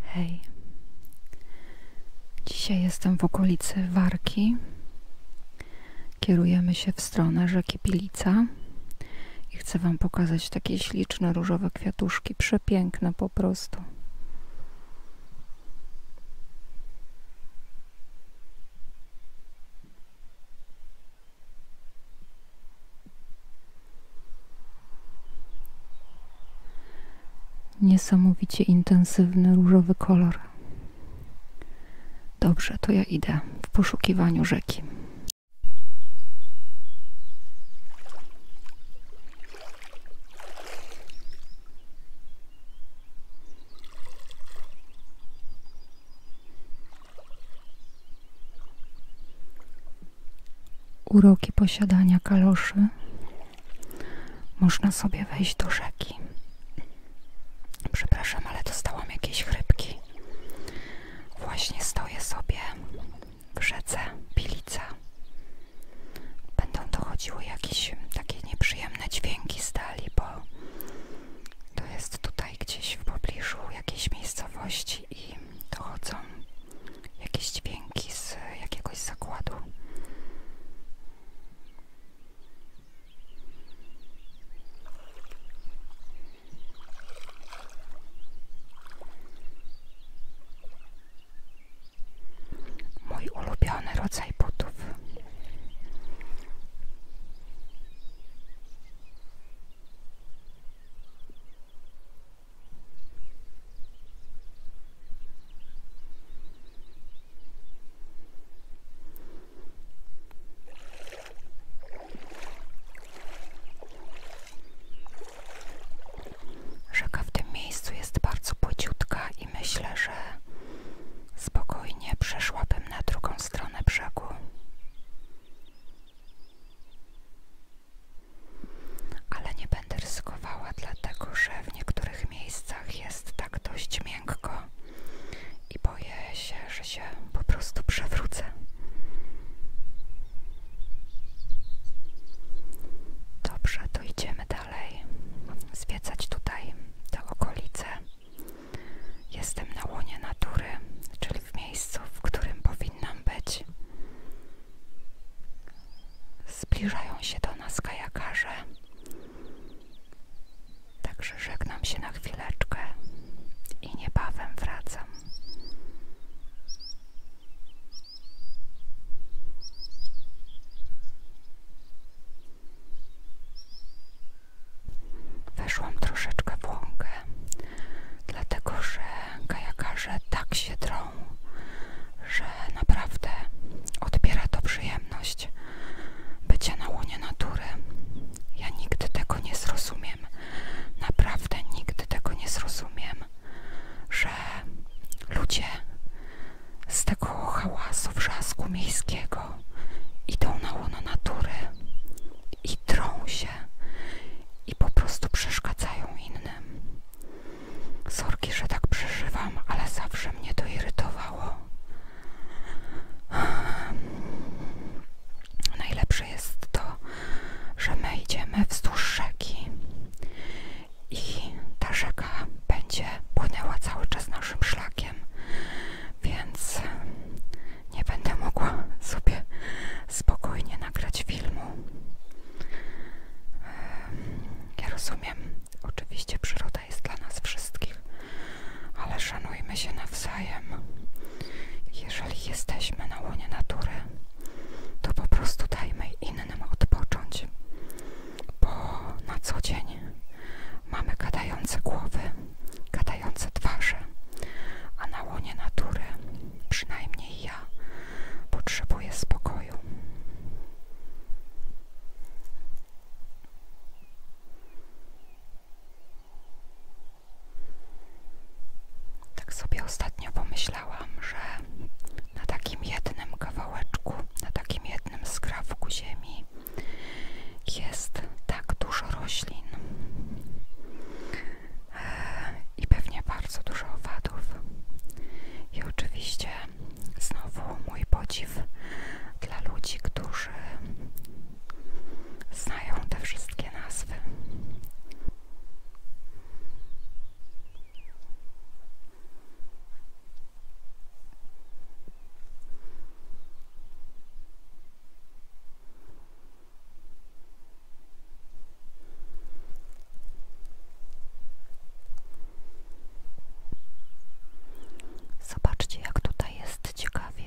Hej, dzisiaj jestem w okolicy Warki. Kierujemy się w stronę rzeki Pilica i chcę Wam pokazać takie śliczne różowe kwiatuszki, przepiękne po prostu. Niesamowicie intensywny różowy kolor. Dobrze, to ja idę w poszukiwaniu rzeki uroki posiadania kaloszy, można sobie wejść do rzeki. Przepraszam, ale dostałam jakieś chrypki. Właśnie stoję sobie w rzece Pilica. Będą dochodziły jakieś takie nieprzyjemne dźwięki stali, bo to jest tutaj gdzieś w pobliżu jakiejś miejscowości i dochodzą jakieś dźwięki z jakiegoś zakładu. Mój ulubiony rodzaj butów. Rzeka w tym miejscu jest bardzo płyciutka i myślę, że spokojnie przeszłabym na drugą stronę brzegu. Ale nie będę ryzykowała, dlatego że w niektórych miejscach jest tak dość miękko i boję się, że się po prostu przewrócę. Dobrze, to idziemy dalej. Zwiedzać tutaj te okolice. Jestem na łonie natury, czyli w miejscu, w którym powinien powinnam być. Zbliżają się do nas kajakarze. Także żegnam się na chwileczkę i niebawem wracam. Weszłam troszeczkę w łąkę, dlatego że kajakarze tak się drą, że naprawdę odbiera to przyjemność bycia na łonie natury. Ja nigdy tego nie zrozumiem, naprawdę nigdy tego nie zrozumiem, że ludzie z tego hałasu, wrzasku miejskiego idą na łono natury dzieciaki się i po prostu przeszkadzają innym. Sorki, że tak przeżywam, ale zawsze mnie to irytowało. Najlepsze jest to, że my idziemy wzdłuż rzeki i ta rzeka będzie płynęła cały czas naszym szlakiem, więc nie będę mogła sobie spokojnie nagrać filmu. Ja rozumiem, oczywiście przyroda jest dla nas wszystkich, ale szanujmy się nawzajem. Jeżeli jesteśmy na łonie natury, to po prostu dajmy innym odpocząć, bo na co dzień mamy gadające głowy, gadające twarze, a na łonie natury przynajmniej ja potrzebuję spokoju. Tak sobie ostatnio pomyślałam, że na takim jednym kawałeczku, na takim jednym skrawku ziemi jest tak dużo roślin i pewnie bardzo dużo owadów. I oczywiście znowu mój podziw dla ludzi, którzy znają te wszystkie nazwy. Zobaczcie, jak tutaj jest ciekawie.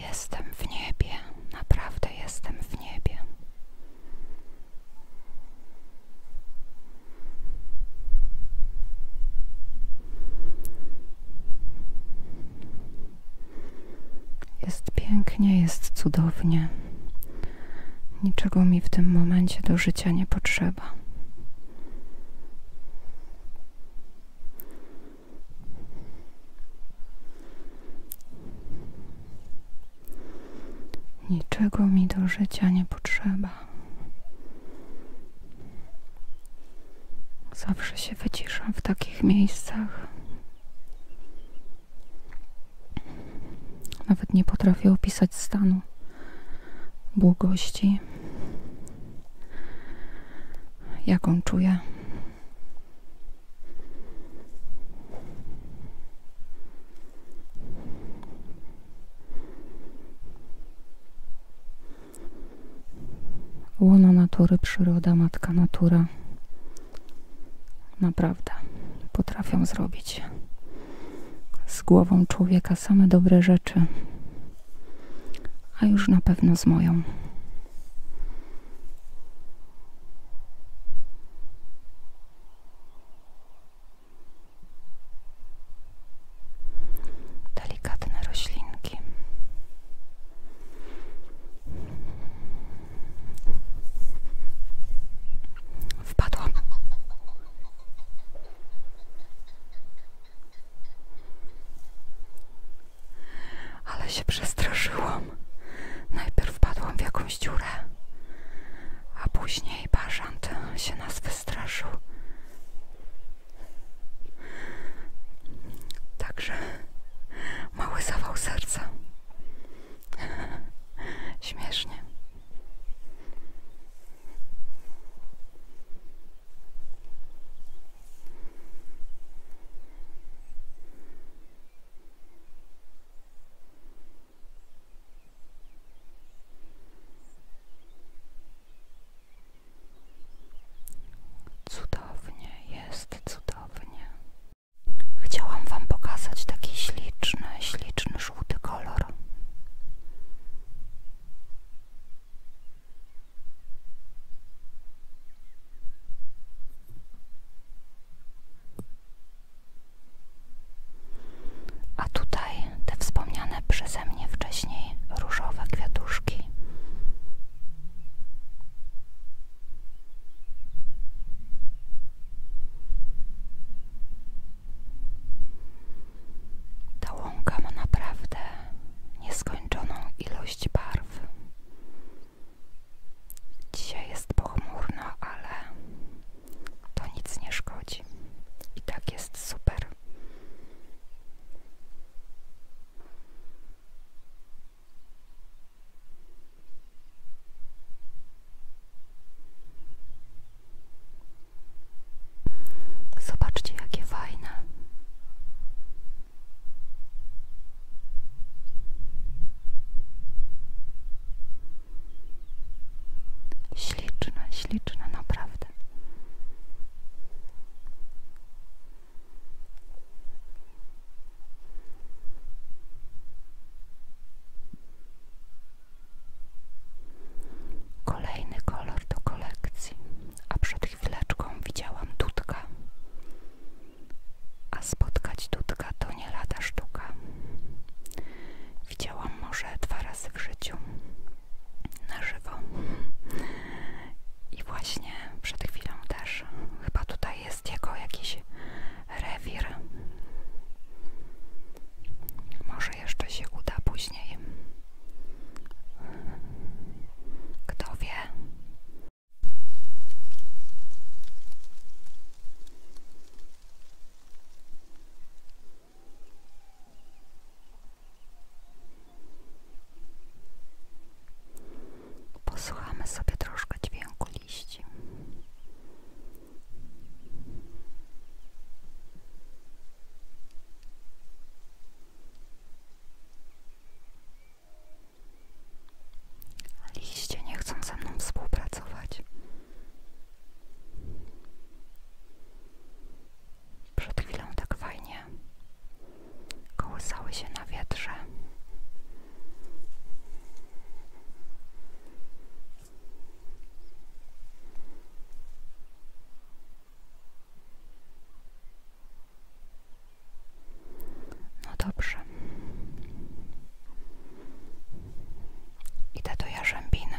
Jestem w niebie, naprawdę jestem w niebie. Jest pięknie, jest cudownie. Niczego mi w tym momencie do życia nie potrzeba. Niczego mi do życia nie potrzeba. Zawsze się wyciszam w takich miejscach. Nawet nie potrafię opisać stanu błogości, jaką czuję. Łona natury, przyroda, matka natura naprawdę potrafią zrobić z głową człowieka same dobre rzeczy, a już na pewno z moją. Delikatne roślinki. Wpadłam. Ale się przestraszyłam. Najpierw wpadłam w jakąś dziurę, a później bażant się nas wystraszył. Także mały zawał serca. Śmiesznie. Cudownie, jest cudownie. Chciałam Wam pokazać taki śliczny, śliczny żółty kolor. A tutaj te wspomniane przeze mnie wcześniej różowe kwiatuszki. Ta łąka ma naprawdę nieskończoną ilość barw. Dzisiaj jest pochmurno, ale to nic nie szkodzi. I tak jest super. Zobaczcie, jakie fajne. Śliczne, śliczne, naprawdę. Kolejny kolor do kolekcji, a przed chwileczką widziałam tutka. A spotkać tutka to nie lada sztuka. Widziałam może dwa razy w życiu na żywo. I właśnie przed chwilą też, chyba tutaj jest jest jego jakiś rewir. Może jeszcze się uda później. Kto wie? Posłuchamy sobie troszkę dźwięku liści. Liście nie chcą ze mną współpracować. Przed chwilą tak fajnie kołysały się na wietrze. No dobrze. I do Jarzębiny.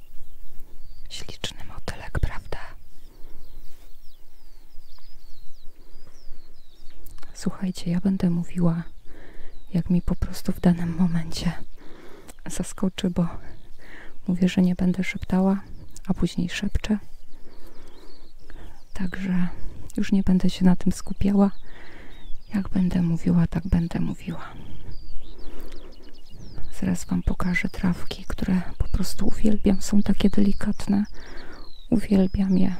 Śliczny motylek, prawda? Słuchajcie, ja będę mówiła, jak mi po prostu w danym momencie zaskoczy, bo mówię, że nie będę szeptała, a później szepczę. Także już nie będę się na tym skupiała. Jak będę mówiła, tak będę mówiła mówiłam. Zaraz Wam pokażę trawki, które po prostu uwielbiam. Są takie delikatne. Uwielbiam je.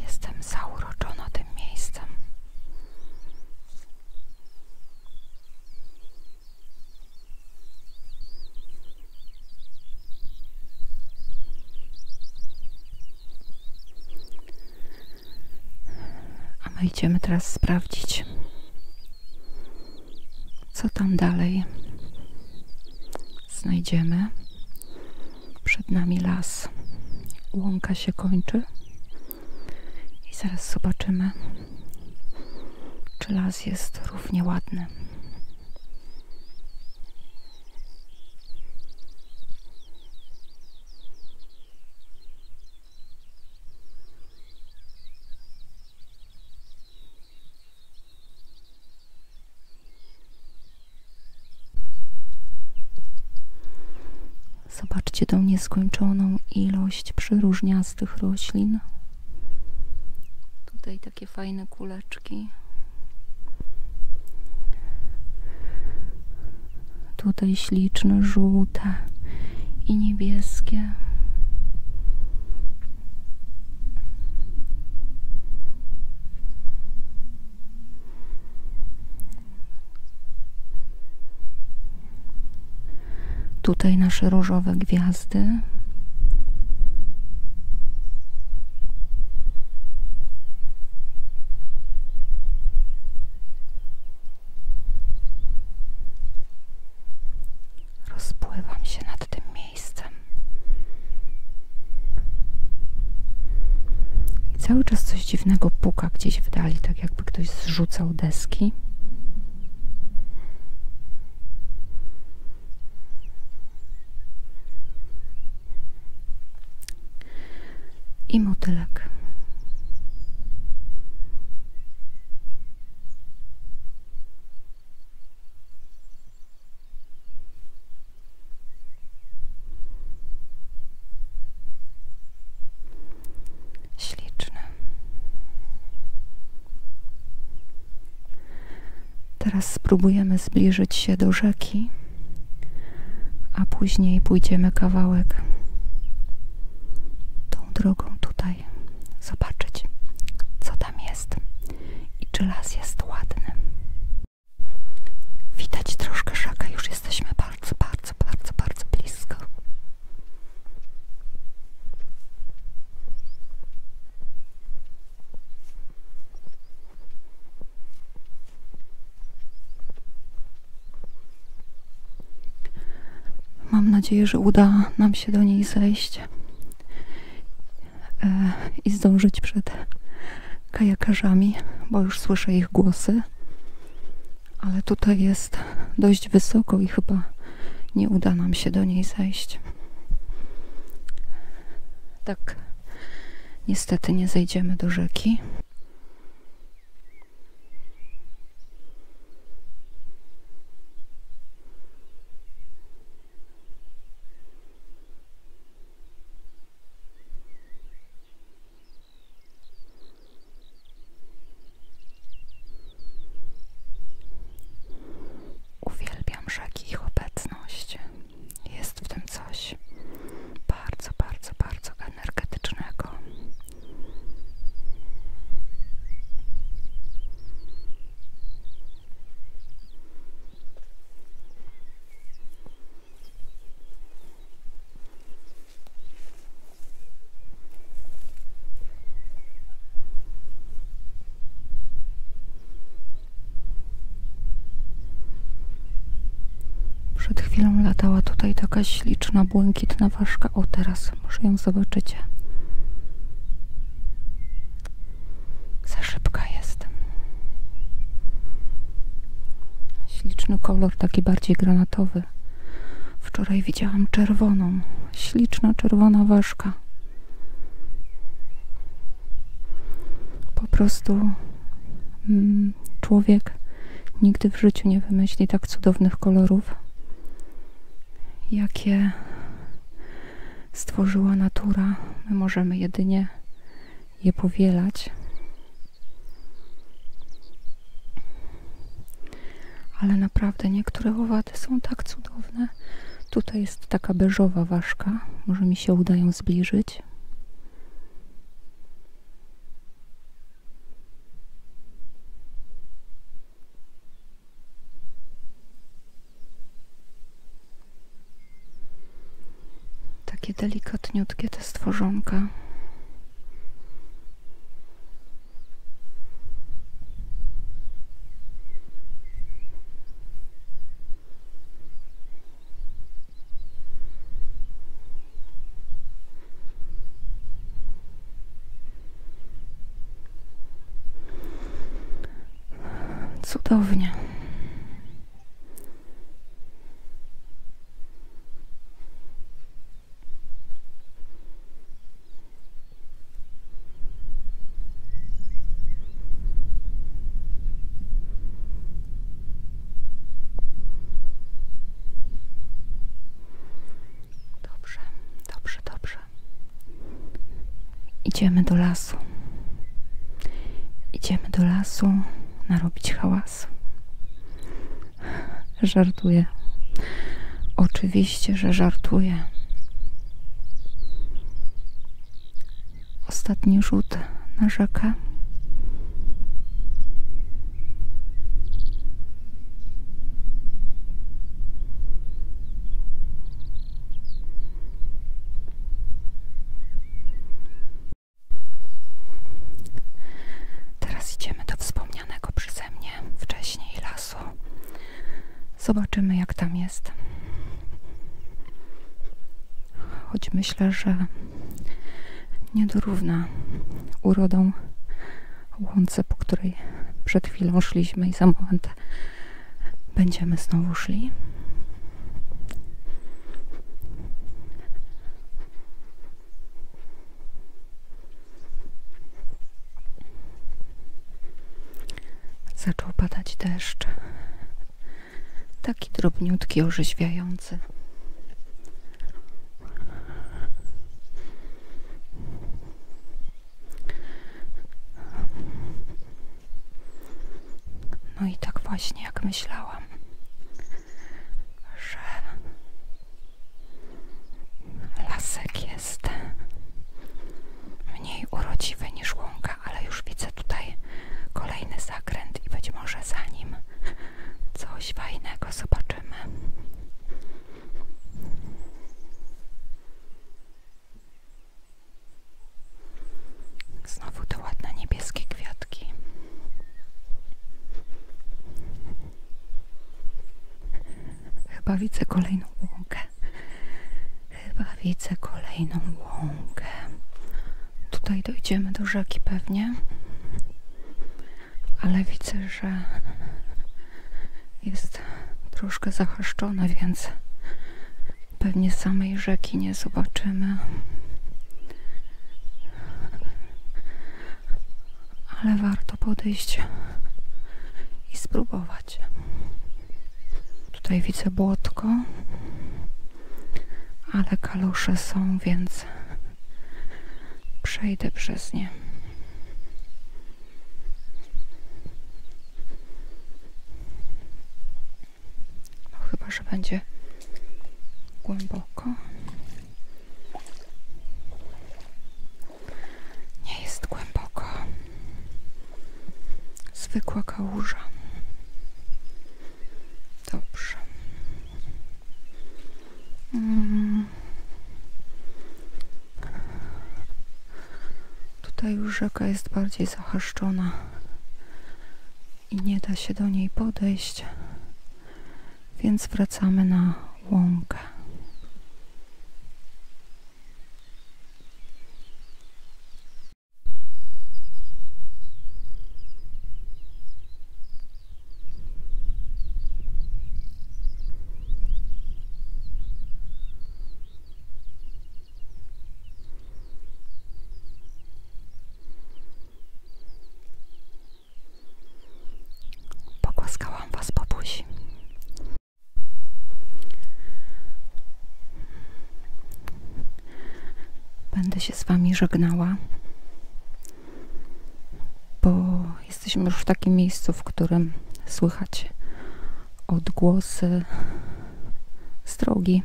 Jestem zauroczona tym miejscem. A my idziemy teraz sprawdzić, co tam dalej znajdziemy. Przed nami las. Łąka się kończy. I zaraz zobaczymy, czy las jest równie ładny. Zobaczcie tą nieskończoną ilość przeróżniastych roślin takie fajne kuleczki. Tutaj śliczne, żółte i niebieskie. Tutaj nasze różowe gwiazdy gwiazdy. Rozpływam się nad tym miejscem. cały czas coś dziwnego puka gdzieś w dali, tak jakby ktoś zrzucał deski i motylek. Śliczne. Teraz spróbujemy zbliżyć się do rzeki, a później pójdziemy kawałek tą drogą tutaj zobaczyć, co tam jest i czy las jest ładny. Widać troszkę rzekę, już jesteśmy bardzo, bardzo, bardzo, bardzo blisko. Mam nadzieję, że uda nam się do niej zejść e, i zdążyć przed kajakarzami, bo już słyszę ich głosy. Ale tutaj jest dość wysoko i chyba nie uda nam się do niej zejść. Tak, niestety nie zejdziemy do rzeki. Uwielbiam rzeki, ich obecność. Jest w tym coś bardzo, bardzo, bardzo energetycznego. Przed chwilą latała tutaj taka śliczna, błękitna ważka. O, teraz może ją zobaczycie. Za szybka jest. Śliczny kolor, taki bardziej granatowy. Wczoraj widziałam czerwoną, śliczna czerwona ważka. Po prostu mm, człowiek nigdy w życiu nie wymyśli tak cudownych kolorów, jakie stworzyła natura. My możemy jedynie je powielać ale naprawdę niektóre owady są tak cudowne. Tutaj jest taka beżowa ważka, może mi się uda ją zbliżyć. Takie delikatniutkie te stworzonka. Cudownie. Dobrze, dobrze, dobrze. Idziemy do lasu. Idziemy do lasu robić hałas. Żartuję. Oczywiście. Oczywiście, że żartuję. Ostatni rzut na rzekę. Teraz idziemy do wspomnianego przeze mnie wcześniej lasu. Zobaczymy, jak tam jest. Choć myślę, że niedorówna urodą łące, po której przed chwilą szliśmy i za moment będziemy znowu szli. Zaczął padać deszcz, taki drobniutki, orzeźwiający. No i tak właśnie jak myślałam, że Lasek jest mniej urodziwy niż łąka, ale już widzę tutaj kolejny zakręt i być może zanim coś fajnego zobaczymy. Znowu te ładne niebieskie kwiatki. Chyba widzę kolejną łąkę. Chyba widzę kolejną łąkę. Tutaj dojdziemy do rzeki pewnie. Ale widzę, że jest troszkę zahaszczone, więc pewnie samej rzeki nie zobaczymy ale warto podejść i spróbować. Tutaj widzę błotko, ale kalusze są, więc przejdę przez nie. No, chyba, że będzie głęboko. Nie jest głęboko. Zwykła kałuża. Dobrze. Mm. Tutaj już rzeka jest bardziej zahaszczona i nie da się do niej podejść więc wracamy na łąkę. Pogłaskałam was po buzi. Będę się z wami żegnała, bo jesteśmy już w takim miejscu, w którym słychać odgłosy z e,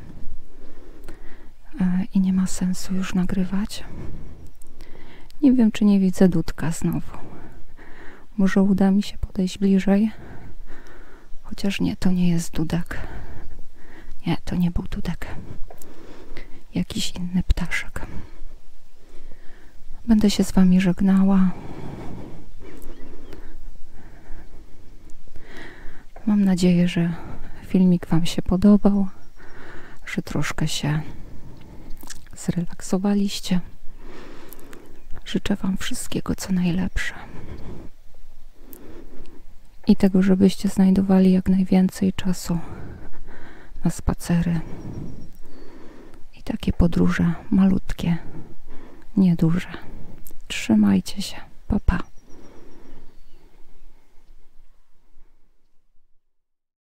i nie ma sensu już nagrywać. Nie wiem, czy nie widzę dudka znowu. Może uda mi się podejść bliżej. Chociaż nie, to nie jest dudek. Nie, to nie był dudek. Jakiś inny ptaszek. Będę się z Wami żegnała. Mam nadzieję, że filmik Wam się podobał, że troszkę się zrelaksowaliście. Życzę Wam wszystkiego, co najlepsze. I tego, żebyście znajdowali jak najwięcej czasu na spacery i takie podróże malutkie, nieduże. Trzymajcie się. Pa, pa.